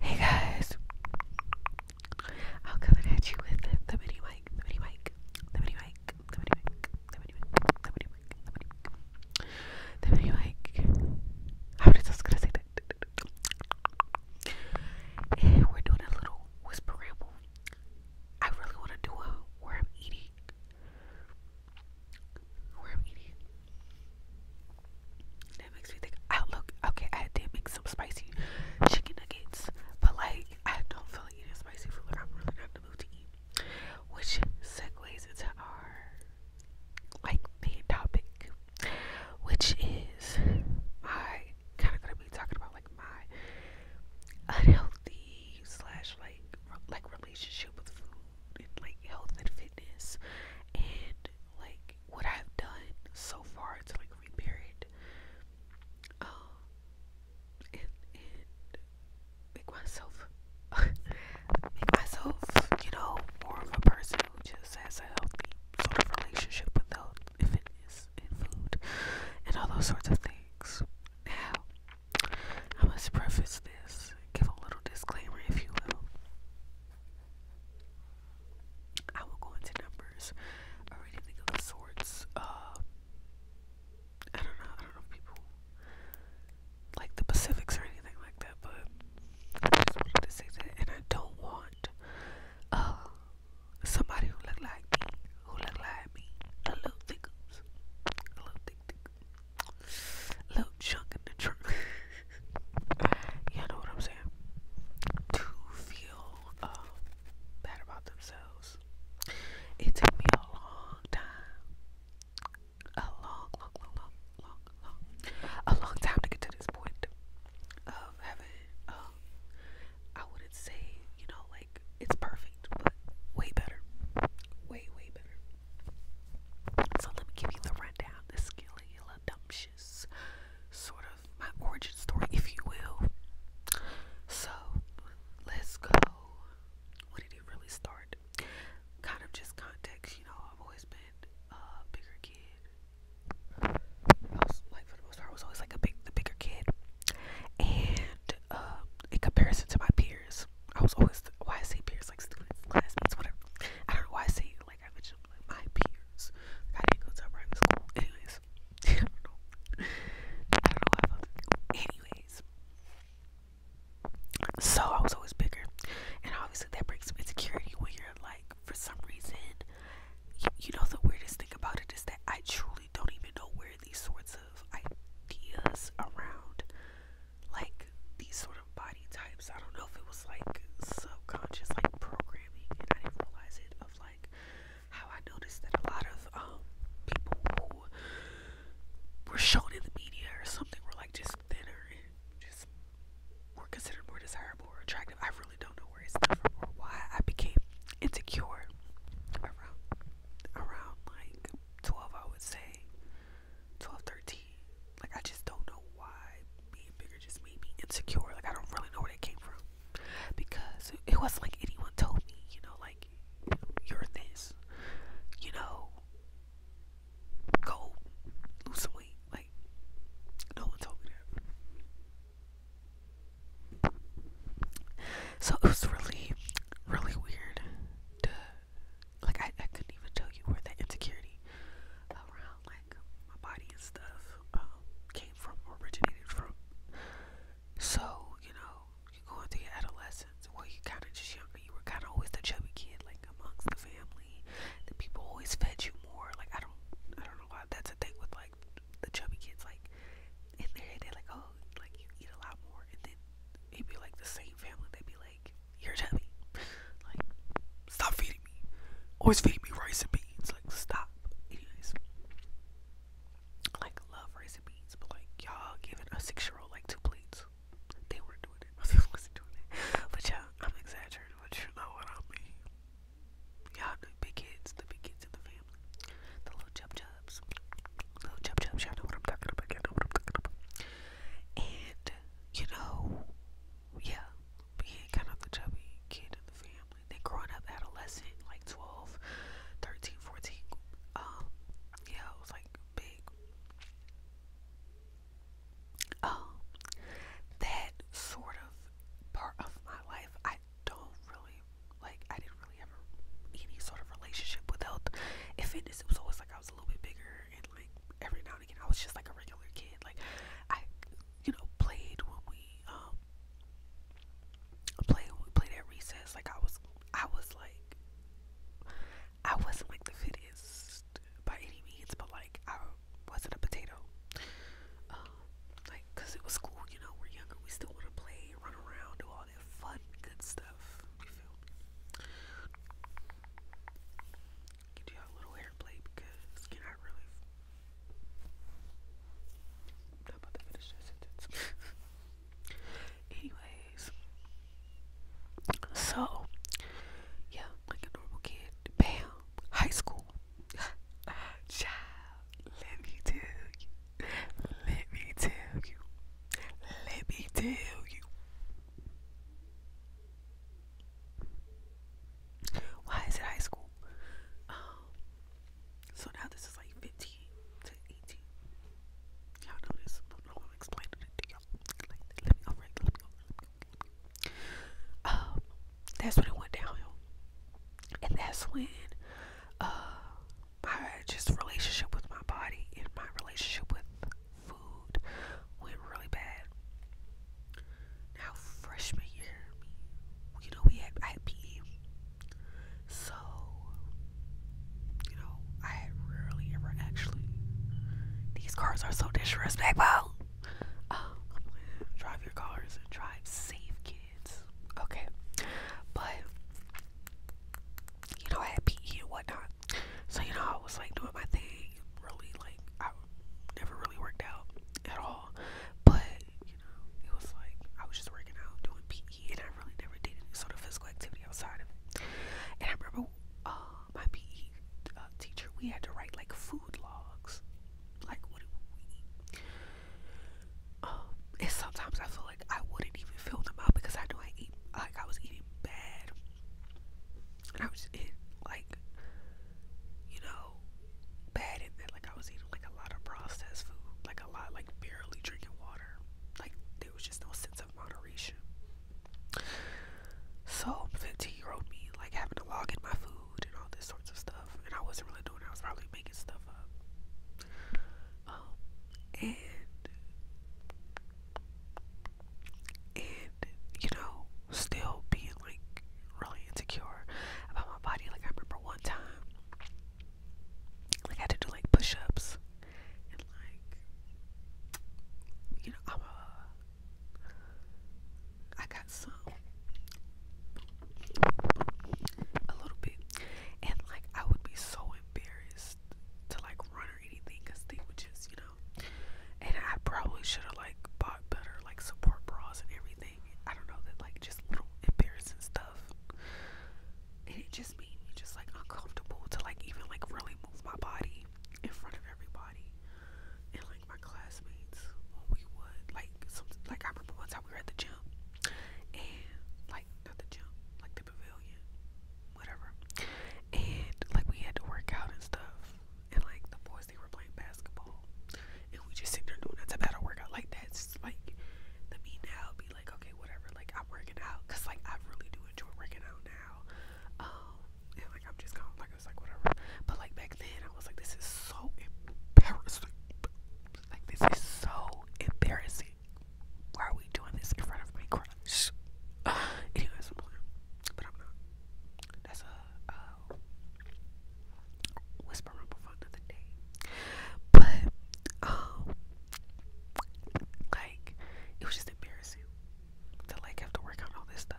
Hey guys, I'm coming at you with the mini mic, the mini mic, the mini mic, the mini mic, the mini mic, the mini mic, the mini mic, the mini mic. I was just gonna say that. And we're doing a little whisper ramble. I really want to do a where I'm eating, where I'm eating, that makes me think outlook. Oh, okay, I did make some spicy chicken nuggets, but like I don't feel like eating spicy food. I'm really not in the mood to eat. Which segues into our like main topic, which is my kind of gonna be talking about like my unhealthy slash like like relationship with food and like health and fitness and like what I've done so far to like repair it. Um, and make myself make myself, you know, more of a person who just has a healthy sort of relationship with health fitness and food and all those sorts of things. Now, I must preface this, give a little disclaimer, if you will. I will go into numbers or anything of the uh, I don't know. I don't know people like the Pacifics or anything like that, but I just wanted to say that. And I don't want uh, somebody who look like me, who look like me, a little thick, a little thick, thick, a little junk in the trunk. you know what I'm saying? To feel uh, bad about themselves. It took me a long time, a long, long, long, long, long, long, a long time to get to this point of having. Um, I wouldn't say you know like it's perfect, but way better, way, way better. So let me give you the rundown, the skill, dumb shit delicious sort of my origin story, if you will. So let's go. When did it really start? Kind of just context, you know. I've always been a bigger kid. like, for the most part, I was always like the bigger kid, and uh, in comparison to my peers, I was always why I say peers like students, classmates, whatever. I don't know why I say like I mentioned, like my peers. I didn't go to private school. Anyways, I don't know. Anyways, so I was always bigger, and obviously that brings some insecurity when you're like, for some reason, you, know the weirdest thing about it is that I truly don't even know where these sorts of ideas around, like these sort of body types. I don't know if it was like subconscious, like programming, and I didn't realize it. Of like how I noticed that a lot of um, people were shown in the media or something were like just thinner and just were considered more desirable or attractive. I really don't know where it's come from or why I became insecure around around like 12, I would say 12, 13. Like I just don't know why being bigger just made me insecure. Like I don't really know where that came from. Because it wasn't like anyone told me, you know, like you're this, you know, go lose some weight. Like no one told me that. So it was really, really weird like I, I couldn't even tell you where that insecurity around like my body and stuff um, came from or originated from. So, you know, you're going through your adolescence where you kind of just younger, you were kind of always the chubby kid, like amongst the family. The people always fed you more. Like, I don't, I don't know why that's a thing with like the chubby kids. Like, in their head, they're like, oh, like you eat a lot more. And then it'd be like the same family, they'd be like, you're Like, stop feeding me. Always feeding me rice and beans. Like, stop. Like, love rice and beans, but like, y'all giving a six year old like two plates. They weren't doing it. My wasn't doing it. But yeah, I'm exaggerating, but you know what I mean. Y'all, the big kids, the big kids in the family. The little chub chubs. little chub chubs, you you know what I'm talking about. And, you know, yeah, being kind of the chubby kid in the family. Then growing up adolescent, like 12, 13, 14, um, yeah, it was like big. Um, that sort of part of my life, I don't really like. I didn't really have any sort of relationship with health and fitness. It was always like I was a little bit bigger, and like every now I was just like a regular kid. Like I, you know, played when we um played when we played at recess. Like I was, I was like, I wasn't like the fittest by any means, but like I wasn't a potato. Um, it was school. You know, we're younger. We still want to play, run around, do all that fun, good stuff. Get you a little hair plate because can I really? i about to finish sentence. Anyways, so yeah, like a normal kid. Bam, high school. Child, let me tell you. Let me tell you. Let me tell you. Why is it high school? so now this is like 15 to 18. Y'all know this. I don't know I'm explaining it to y'all. let me, alright, let let me, Um, that's when it went downhill. And that's when, my just relationship with my body and my relationship with food went really bad. Now freshman year, you know we had I so you know I rarely ever actually. These cars are so disrespectful. Um, drive your cars and drive safe, kids. Okay, but you know I had PE and whatnot. So you know, I was like doing my thing, really like I never really worked out at all. But you know, it was like I was just working out, doing PE, and I really never did any sort of physical activity outside of it. And I remember uh, my PE uh, teacher, we had to write like food logs, like what we eat. Um, and sometimes I feel like I wouldn't even fill them out because I knew I ate like I was eating bad. I was in like, you know, bad in that like I was eating like a lot of processed food, like a lot, like barely drinking water. Like there was just no sense of moderation. So 15 year old me like having to log in my food and all this sorts of stuff. And I wasn't really doing I was probably making stuff up. Um and and you know still being like really insecure about my body like i remember one time like i had to do like push-ups and like you know i'm a i got some a little bit and like i would be so embarrassed to like run anything because they would just, you know. And I probably should have like bought better like support bras and everything. I don't know that like just little embarrassing stuff. And it just made me just like uncomfortable to like even like really move my body in front of everybody. And like my classmates we would like some like I remember once how we were at the gym and like not the gym, like the pavilion whatever. And like we had to work out and stuff. And like the boys they were playing basketball. And we just sit there doing that's a of workout like that's like the me now be like, okay, whatever, like I'm working out. Cause like I really do enjoy working out now. Um, and like I'm just kind of like it was like whatever. But like back then I was like this is so embarrassing. Like this is so embarrassing. Why are we doing this in front of my crush? just, uh, anyways, but I'm not. That's a uh, whisper rumble for another day. But um, like it was just embarrassing to like have to work out all this stuff.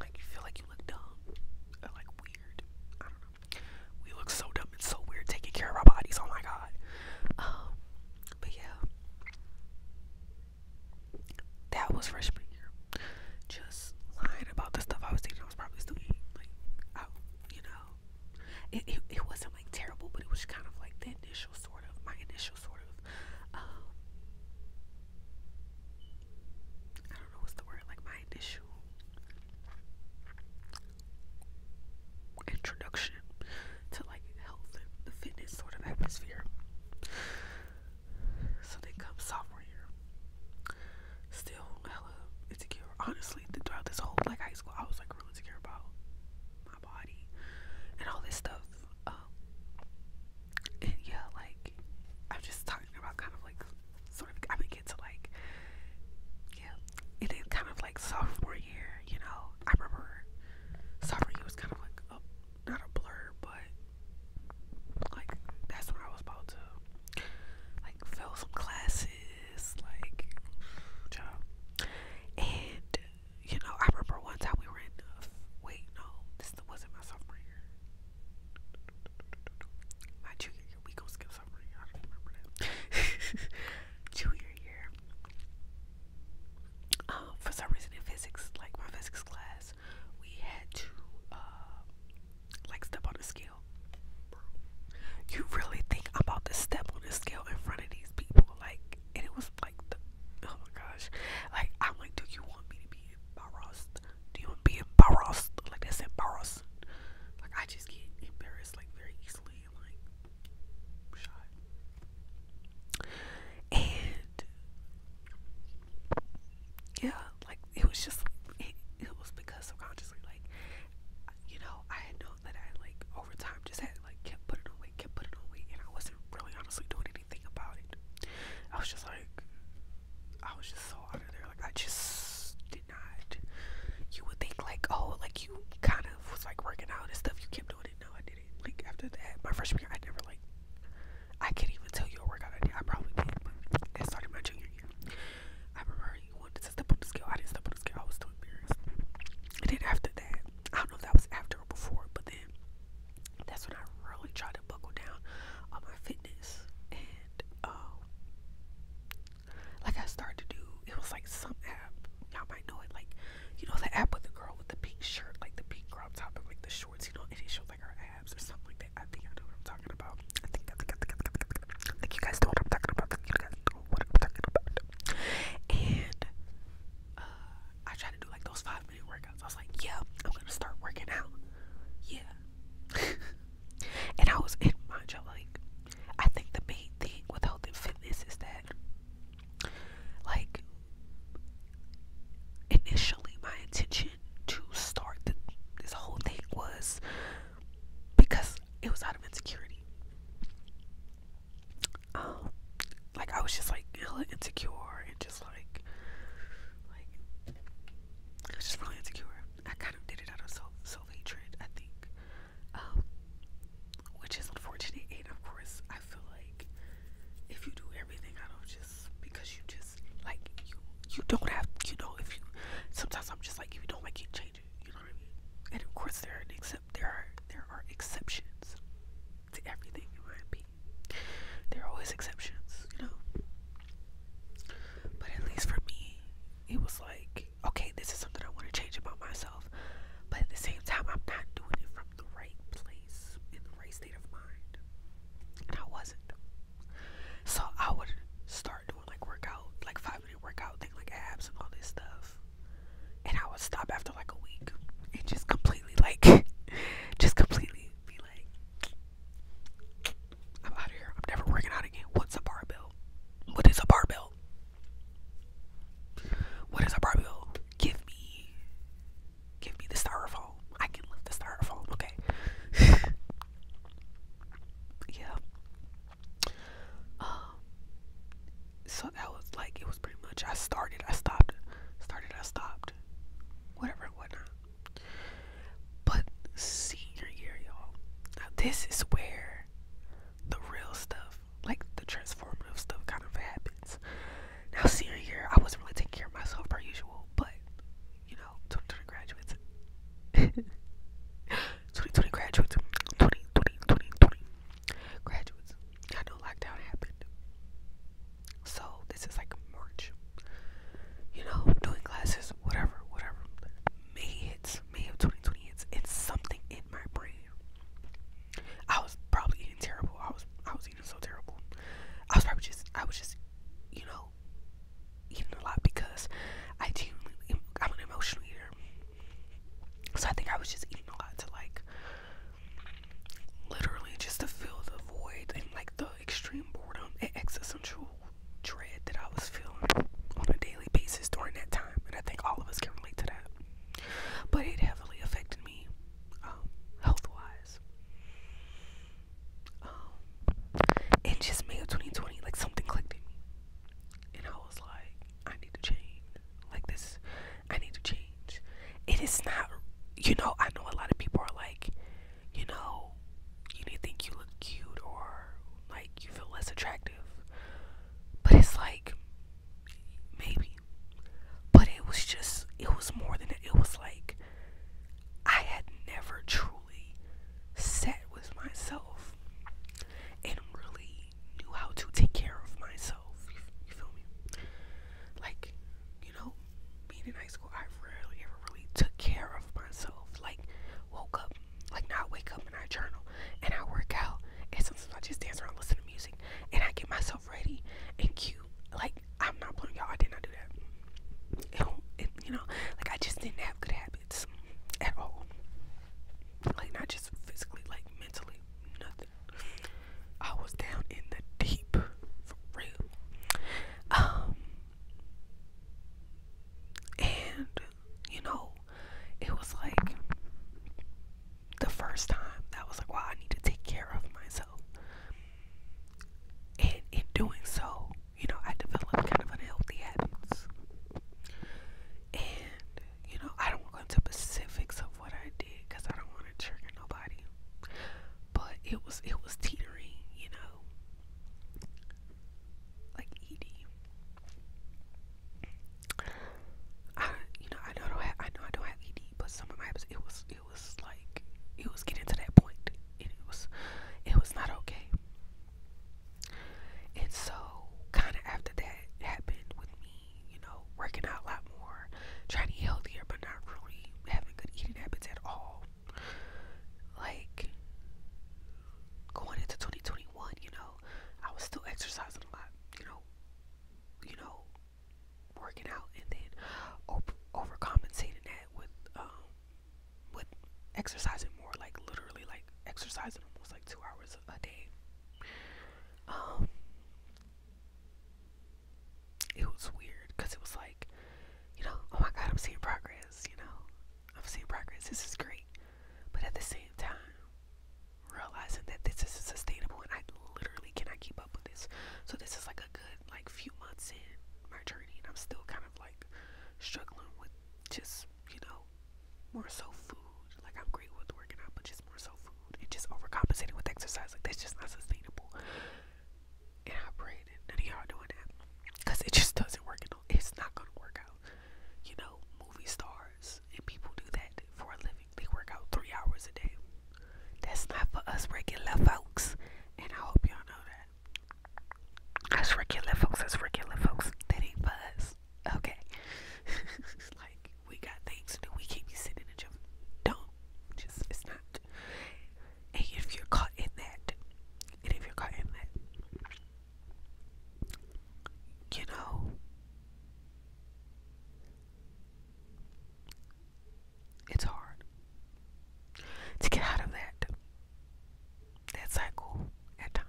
like you feel like you look dumb, or, like weird. We look so dumb and so weird taking care of our bodies. Oh my god. Um, but yeah. That was freshman year. Just lying about the stuff I was thinking I was probably still Like, oh, you know, it, it, it wasn't like terrible, but it was kind of like the initial sort of, my initial sort of, um, I don't know what's the word, like my initial introduction to like health and the fitness sort of atmosphere. So they come sophomore year. Still hella insecure. Honestly, throughout this whole like high school, I was like really insecure about my body and all this stuff. Um, and yeah, like I'm just talking about kind of like sort of I mean get to like yeah. It is kind of like sophomore year, you know. I remember sophomore year was kind of like not a blur, but like that's when I was about to like fill some classes, like job. And you know, I remember one time we were in. Uh, wait, no, this wasn't my sophomore year. My junior year, we go skip sophomore year. I don't remember that. junior year, um, for some reason in physics, like my physics class, we had to uh, like step on a scale. You really think I'm about to step on a scale in front of these people? Like, and it was like, oh my gosh! Like, I'm like, do you want me to be embarrassed? Do you want to embarrassed? Like that's embarrassing. Like I just get embarrassed like very easily like shy. And yeah, like it was just it, it was because subconsciously, like you know, I had known that I like over time just had like kept putting on kept putting away, and I wasn't really honestly doing anything about it. I was just like, I was just so out of there. Like I just did not. You would think like, oh, like you kind of was like working out and stuff. You kept doing it. No, I did like after that, my freshman year, I never like. I can't even tell you a workout I did. I probably did, but I started my junior year. I remember you wanted to step on the scale. I didn't step on the scale. I was too embarrassed. And then after that, I don't know if that was after or before, but then that's when I really tried to buckle down on my fitness and um, like I started to do. It was like some Y'all might know it, like you know the app with the girl with the pink shirt, like the pink crop top and like the shorts, you know, and it shows like her abs or something like that. I think you guys know what I'm talking about. I think you guys know what I'm talking about. And uh, I tried to do like those five minute workouts. I was like, yeah, I'm gonna start working out. Yeah. and I was in mind y'all like I think the main thing with health and fitness is that like initially my intention to start this whole thing was because it was out of insecurity um, like i was just like hella insecure and just like like i was just really insecure i kind of did it out of self self-hatred i think um, which is unfortunate. And of course, I feel like if you do everything I don't just because you just like you you don't have you know if you sometimes I'm just like if you don't like it change it you know what I mean and of course there are except there are there are exceptions to everything in my opinion there are always exceptions you know but at least for me it was like okay this is something I want to change about myself but at the same time I'm not doing it from the right place in the right state of mind. And I wasn't. So I would start doing like workout, like five minute workout thing, like abs and all this stuff. And I would stop after like a week and just completely like, just completely be like, I'm out of here. I'm never working out again. What's a barbell? What is a barbell? What is a barbell? give me give me the styrofoam. I can lift the styrofoam, okay. yeah. Um so that was like it was pretty much I started, I stopped, started, I stopped. Whatever whatnot. But senior year, y'all. Now this is where the real stuff like the transformative stuff kind of happens. Now, senior year, I wasn't really taking care of myself per usual, but you know, 2020 graduates, 2020 graduates, 20, 20, 20 graduates. I know lockdown happened, so this is like March. You know, doing classes, whatever, whatever. May hits, May of 2020 hits. It's something in my brain I was probably eating terrible. I was I was eating so terrible. I was probably just I was just you know eating a lot because I genuinely I'm an emotional eater. So I think I was just eating a lot to like literally just to fill the void and like the extreme boredom and existential dread that I was feeling on a daily basis during that time. And I think all of us can relate to that. But it heavily affected me um, health wise. Um, in just May of 2020, like something clicked in me. And I was like, I need to change. Like this, I need to change. It is not, you know, I know a lot of people are like, you know, you need to think you look cute or like you feel less attractive. But it's like, maybe. But it was just, it was more than that. It was like I had never truly set with myself and really knew how to take care of myself. You, feel me? Like, you know, being in high school, I rarely ever really took care of myself. Like, woke up, like, not wake up and I journal and I work out, and sometimes I just dance around, listen to music and I get myself ready and cute. Like I'm not putting y'all. I did not do that. you know, like I just didn't have good habits at all. Like not just physically, like mentally, nothing. I was down in the deep, for real. Um, and you know, it was like the first time that was like, wow, I need to take care of myself. And in doing so, you know, I developed kind of unhealthy habits. And, you know, I don't want to go into specifics of what I did because I don't want to trigger nobody. But it was it was teetering, you know. Like eating. I, you know, I know I don't have, I know I don't have ED, but some of my episodes, it was, it was like, it was getting to that point, and it was, it was not okay. And so, kind of after that happened with me, you know, working out a lot more, trying to eat healthier, but not really having good eating habits at all. Like going into 2021, you know, I was still exercising a lot, you know, you know, working out and then overcompensating that with um, with exercising more, like literally like exercising almost like two hours a day. Um, it was weird because it was like, you know, oh my god, I'm seeing progress. You know, I'm seeing progress. This is great, but at the same time, realizing that this isn't sustainable and I literally cannot keep up with this. So this is like a good like few months in my journey and I'm still kind of like struggling with just, you know, more so food. Like I'm great with working out, but just more so food and just overcompensating with exercise. Like that's just not sustainable. And I pray that none of y'all doing that. Cause it just doesn't work at all. It's not gonna work out. You know, movie stars and people do that for a living. They work out three hours a day. That's not for us regular folks, and I hope y'all know that. That's regular folks. That's regular folks. That ain't us. Okay, like we got things to do. We can't be sitting in jail. Don't just. It's not. And if you're caught in that, and if you're caught in that, you know, it's hard to get out of that that cycle at times.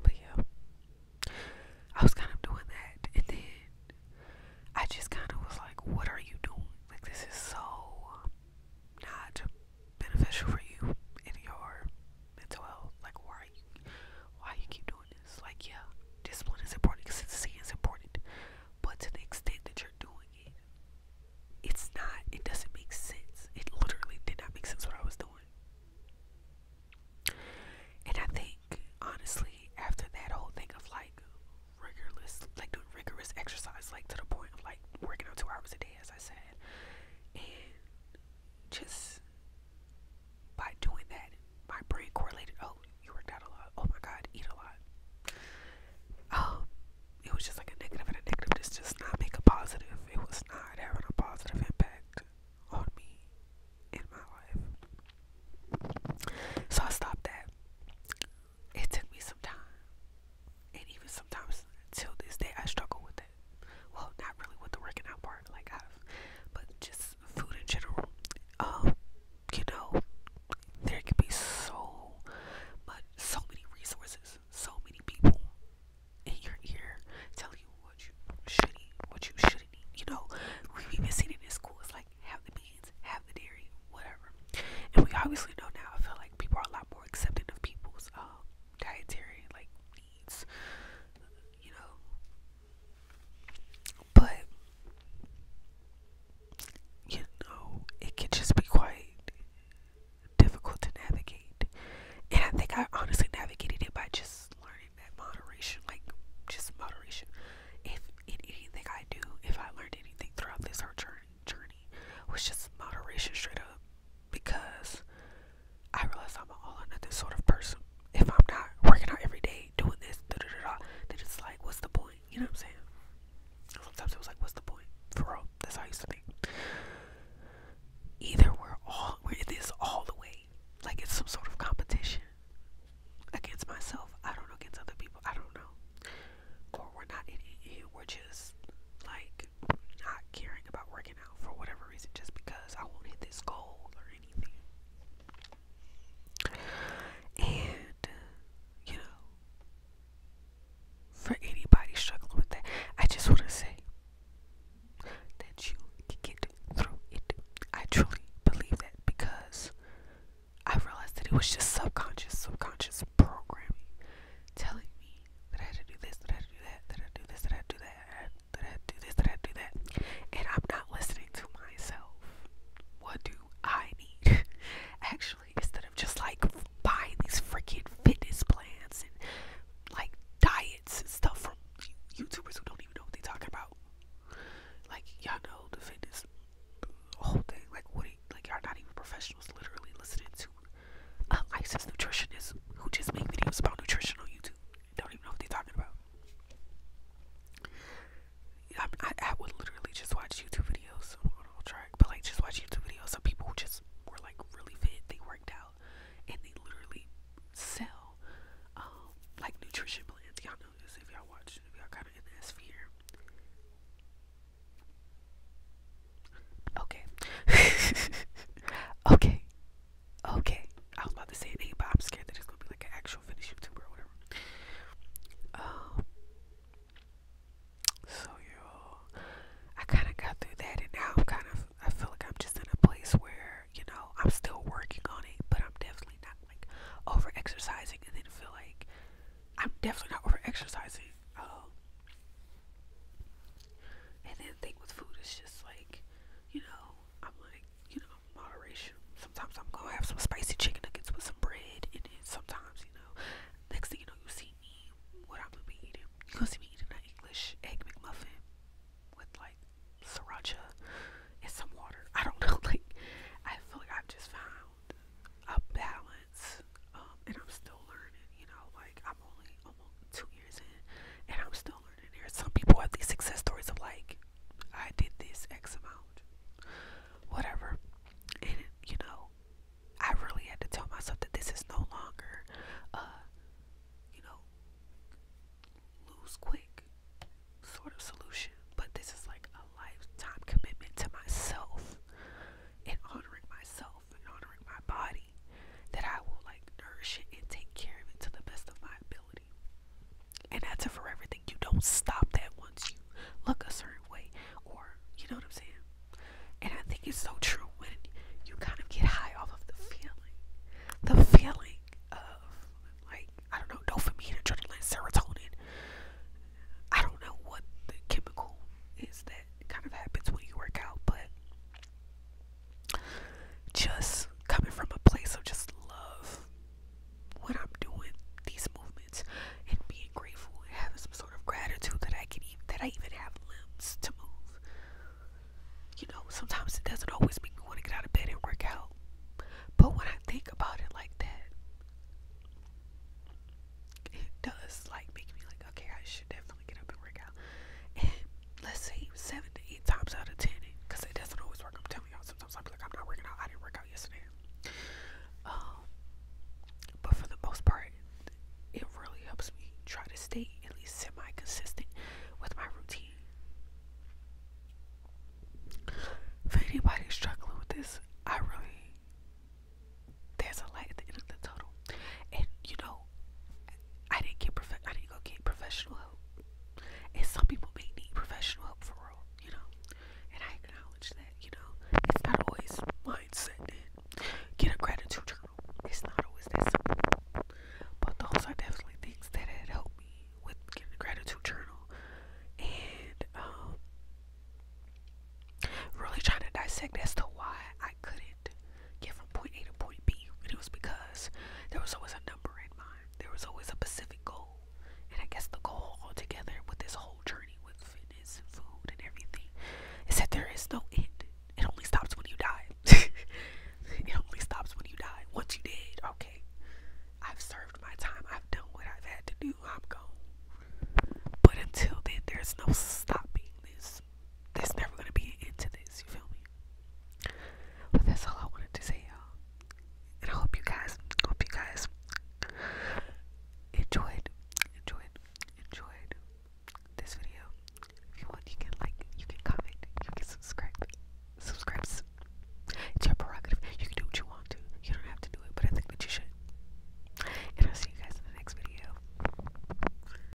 But yeah. I was kind of doing that and then I just kind of was like, what are you doing? Like this is so not beneficial for you in your mental health. Like why why are you why keep doing this? Like yeah, discipline is important, consistency is important. But to the extent that you're doing it, it's not it doesn't make sense. It literally did not make sense what I was doing. And I think honestly, after that whole thing of like rigorous like doing rigorous exercise, like to the point of like working out two hours a day as I said, and just by doing that, my brain correlated. Oh, you worked out a lot. Oh my God, eat a lot. Um, it was just like a negative and a negative. This just not make positive. It was not having a positive impact on me in my life. So I stopped that. It took me some time, and even sometimes till this day, I struggle with that well not really with the working out part like I've but just food in general um you know there can be so much so many resources so many people in your ear telling you what you should eat what you shouldn't eat you know we've even seen it in school it's like have the beans have the dairy whatever and we obviously know now I feel like people are a lot more accepting of people's um dietary like needs you know. But you know, it can just be quite difficult to navigate. And I think I honestly navigated it by just learning that moderation, like just moderation. If in anything I do, if I learned anything throughout this hard journey was just moderation straight up because I realize I'm an all or nothing sort of person. If I'm not working out every day, doing this, da da da da, then it's like, what's the point? You know what I'm saying? Sometimes it was like, what's the point? For real, that's how I used to think. Either we're all, we're in this all the way, like it's some sort of competition against myself. I don't know against other people. I don't know. Or we're not in it. We're just like not caring about working for whatever reason just because I won't hit this goal or anything. And, you know, for anybody struggling with that, I just want to say that you can get through it. I truly believe that because I realized that it was just subconscious, subconscious programming telling me that I had to do this, that I had to do that, that I had to do this, that I had to do that that, did I do this, did do that? And I'm not listening to myself. What do I need? Actually, instead of just like buying these freaking fitness plans and like diets and stuff from YouTubers who don't even know what they're talking about. Like y'all know the fitness whole thing. Like what? Are you, like y'all not even professionals. Literally listening to a licensed nutritionist who just make videos about nutrition on YouTube don't even know what they're talking about. I, would literally just watch YouTube videos on track, but like just watch YouTube videos of people just were like really fit, they worked out, and they literally sell um, like nutrition plans. Y'all know this if y'all watch, if y'all kind of in that sphere. Okay, okay, Okay, I was about to say it, but I'm scared that it's gonna be like an actual Finnish YouTuber or whatever. Um, so yo, I kind of got through that, and now I'm kind of I feel like I'm just in a place where you know I'm still working on it, but I'm definitely not like over exercising, and then feel like I'm definitely not over exercising. Um, and then the thing with food is just like, you know, I'm like, you know, moderation. Sometimes I'm gonna have some spicy chicken nuggets with some bread, and then sometimes, you know, next thing you know, you see me, what I'm gonna be eating. You gonna see me eating an English egg McMuffin with like sriracha and some water. I don't know, like, I feel like I've just found a balance, um, and I'm still learning, you know, like, I'm only almost two years in, and I'm still learning. There, some people have these success stories of like, I did this X amount, whatever, and you know, I really had to tell myself that this is no longer, uh, you know, lose quick sort of solution, but this is like a lifetime commitment to myself and honoring myself and honoring my body that I will like nourish it and take care of it to the best of my ability. And that's a forever thing. You don't stop that once you look a certain way, or you know what I'm saying. And I think it's so true when you kind of get high off of the feeling, the feeling of like I don't know dopamine, adrenaline, serotonin. I don't know what the chemical is that kind of happens when you work out, but just coming from a place of just love when I'm doing these movements and being grateful and having some sort of gratitude that I can even, that I even have limbs to move. You know, sometimes it doesn't always make me want to get out of bed and work out. But when I think about it like that, it does like make me like, okay, I should definitely get up and work out let's see, seven to eight times out of ten, because it doesn't always work. I'm telling y'all, sometimes I'll like, I'm not working out. I didn't work out yesterday. Um, but for the most part, it really helps me try to stay at least semi consistent with my routine. For anybody struggling with this, I really there's a light at the end of the tunnel, and you know know. I didn't get prof- I didn't go get professional help. And some people may need professional help for real, you know. And I acknowledge that, you know. It's not always mindset and get a gratitude journal. It's not always that simple. But those are definitely things that had helped me with getting a gratitude journal. And um really trying to dissect as to why I couldn't get from point A to point B. And it was because there was always a number in mind. There was always a specific goal. And I guess the goal together with this whole journey with fitness food and everything is that there is no end. It only stops when you die. it only stops when you die. What you did, okay. I've served my time. I've done what I've had to do. I'm gone. But until then, there's no stopping this there's never gonna be an end to this, you feel me? But that's all I wanted to say, y'all. And I hope you guys hope you guys enjoyed enjoyed enjoyed this video. If you want you can like you can comment, you can subscribe. Subscribe it's your prerogative. You can do what you want to. You don't have to do it, but I think that you should. And I'll see you guys in the next video.